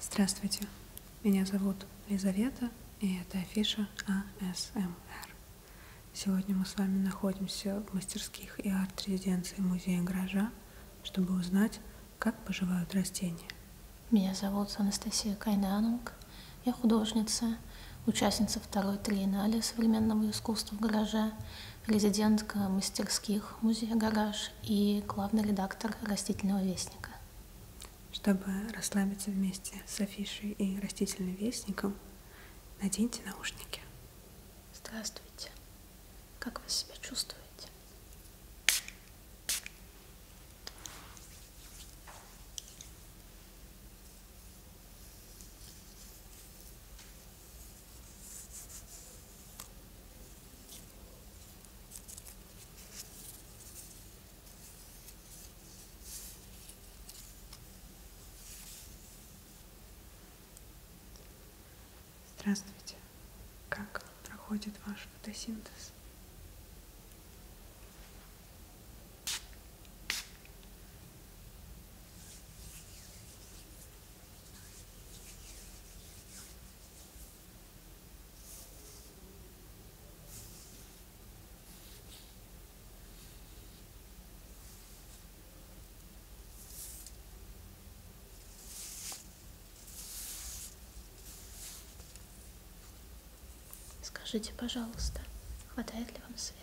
Здравствуйте, меня зовут Лизавета, и это афиша АСМР. Сегодня мы с вами находимся в мастерских и арт-резиденции Музея гаража, чтобы узнать, как поживают растения. Меня зовут Анастасия Кайнанунг, я художница, участница второй триеннале современного искусства в гараже, резидентка мастерских музея «Гараж» и главный редактор «Растительного вестника». Чтобы расслабиться вместе с афишей и растительным вестником, наденьте наушники. Здравствуйте. Как вы себя чувствуете? Здравствуйте. Как проходит ваш фотосинтез? Скажите, пожалуйста, хватает ли вам света?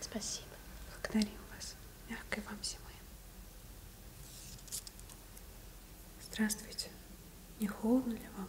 Спасибо. Благодарю вас. Мягкой вам зимы. Здравствуйте. Не холодно ли вам?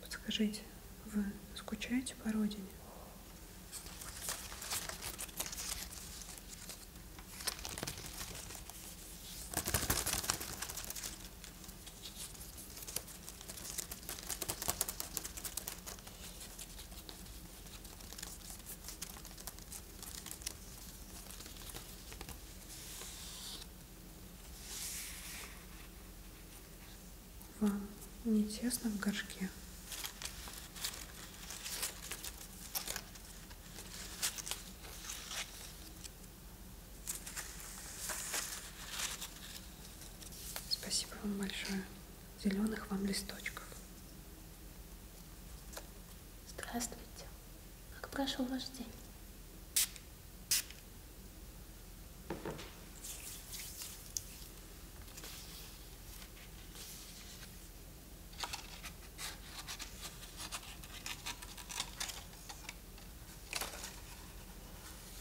Подскажите, вы скучаете по родине? Вам не тесно в горшке. Спасибо вам большое. Зеленых вам листочков. Здравствуйте. Как прошел ваш день?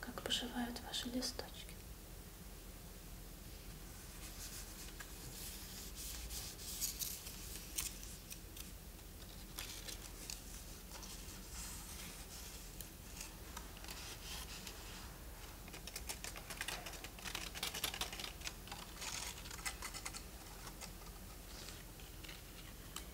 Как поживают ваши листочки?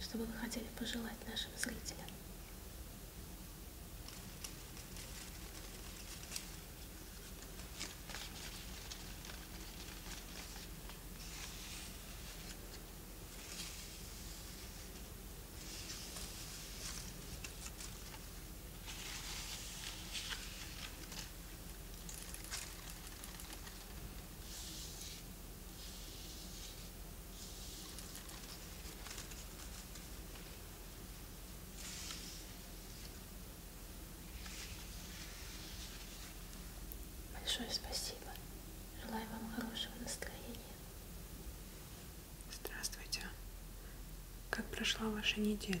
Что бы вы хотели пожелать нашим зрителям? Большое спасибо Желаю вам хорошего настроения. Здравствуйте. Как прошла ваша неделя?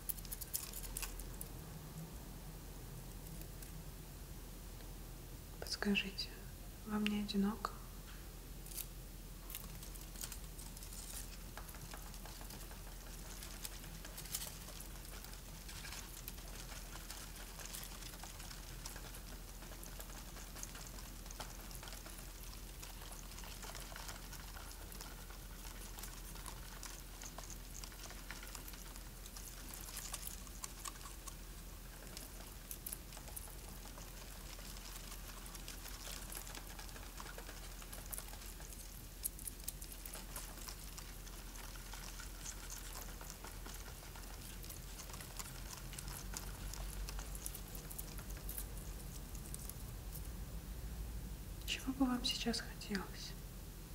Подскажите, вам не одиноко? Чего бы вам сейчас хотелось?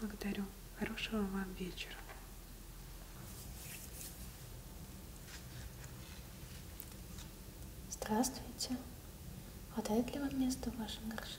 Благодарю. Хорошего вам вечера. Здравствуйте. Хватает ли вам места в вашем горшке?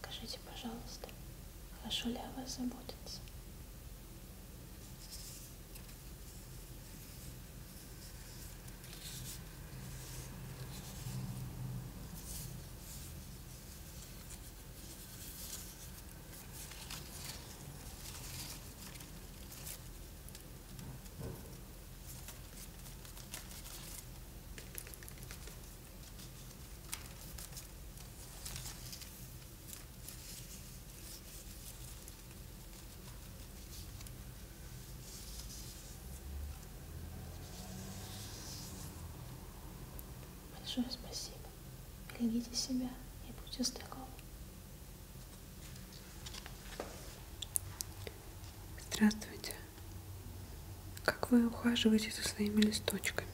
Скажите, пожалуйста, хорошо ли о вас заботятся? Большое спасибо. Берегите себя и будьте здоровы. Здравствуйте. Как вы ухаживаете за своими листочками?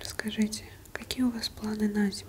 Расскажите, какие у вас планы на зиму?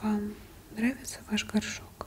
Вам нравится ваш горшок?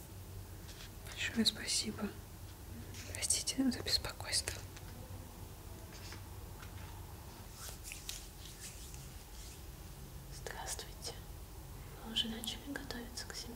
Большое спасибо. Простите за беспокойство. Здравствуйте. Мы уже начали готовиться к зиме.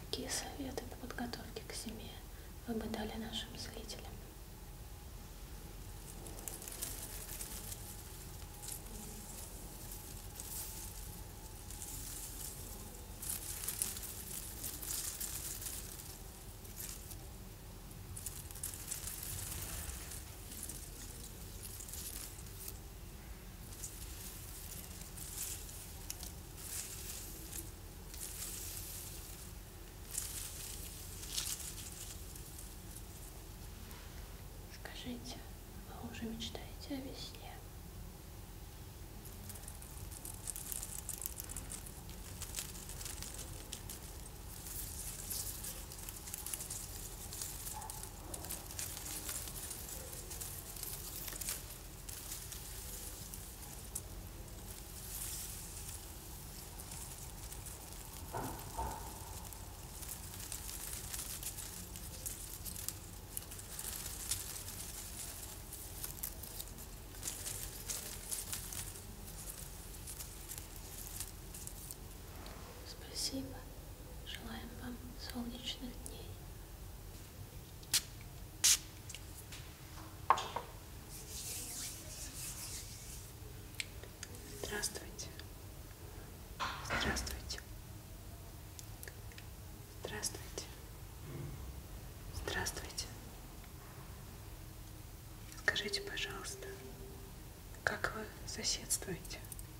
Какие советы по подготовке к зиме вы бы дали нашим зрителям? Скажите, вы уже мечтаете о весне? Спасибо. Желаем вам солнечных дней. Здравствуйте. Здравствуйте. Здравствуйте. Здравствуйте. Скажите, пожалуйста, как вы соседствуете?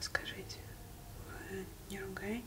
Скажите, вы не ругаетесь?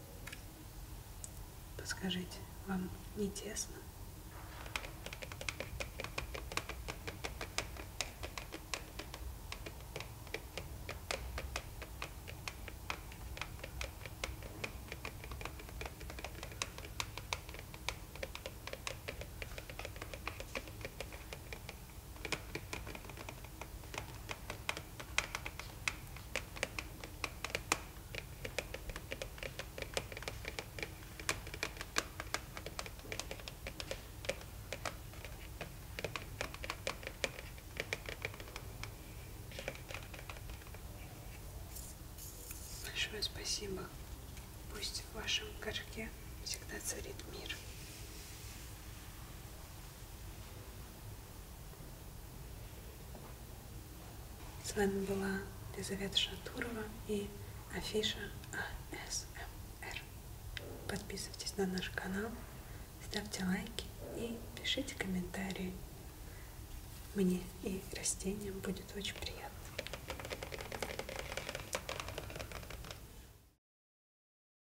Подскажите, вам не тесно? Большое спасибо. Пусть в вашем горшке всегда царит мир. С вами была Елизавета Шатурова и афиша АСМР. Подписывайтесь на наш канал, ставьте лайки и пишите комментарии. Мне и растениям будет очень приятно.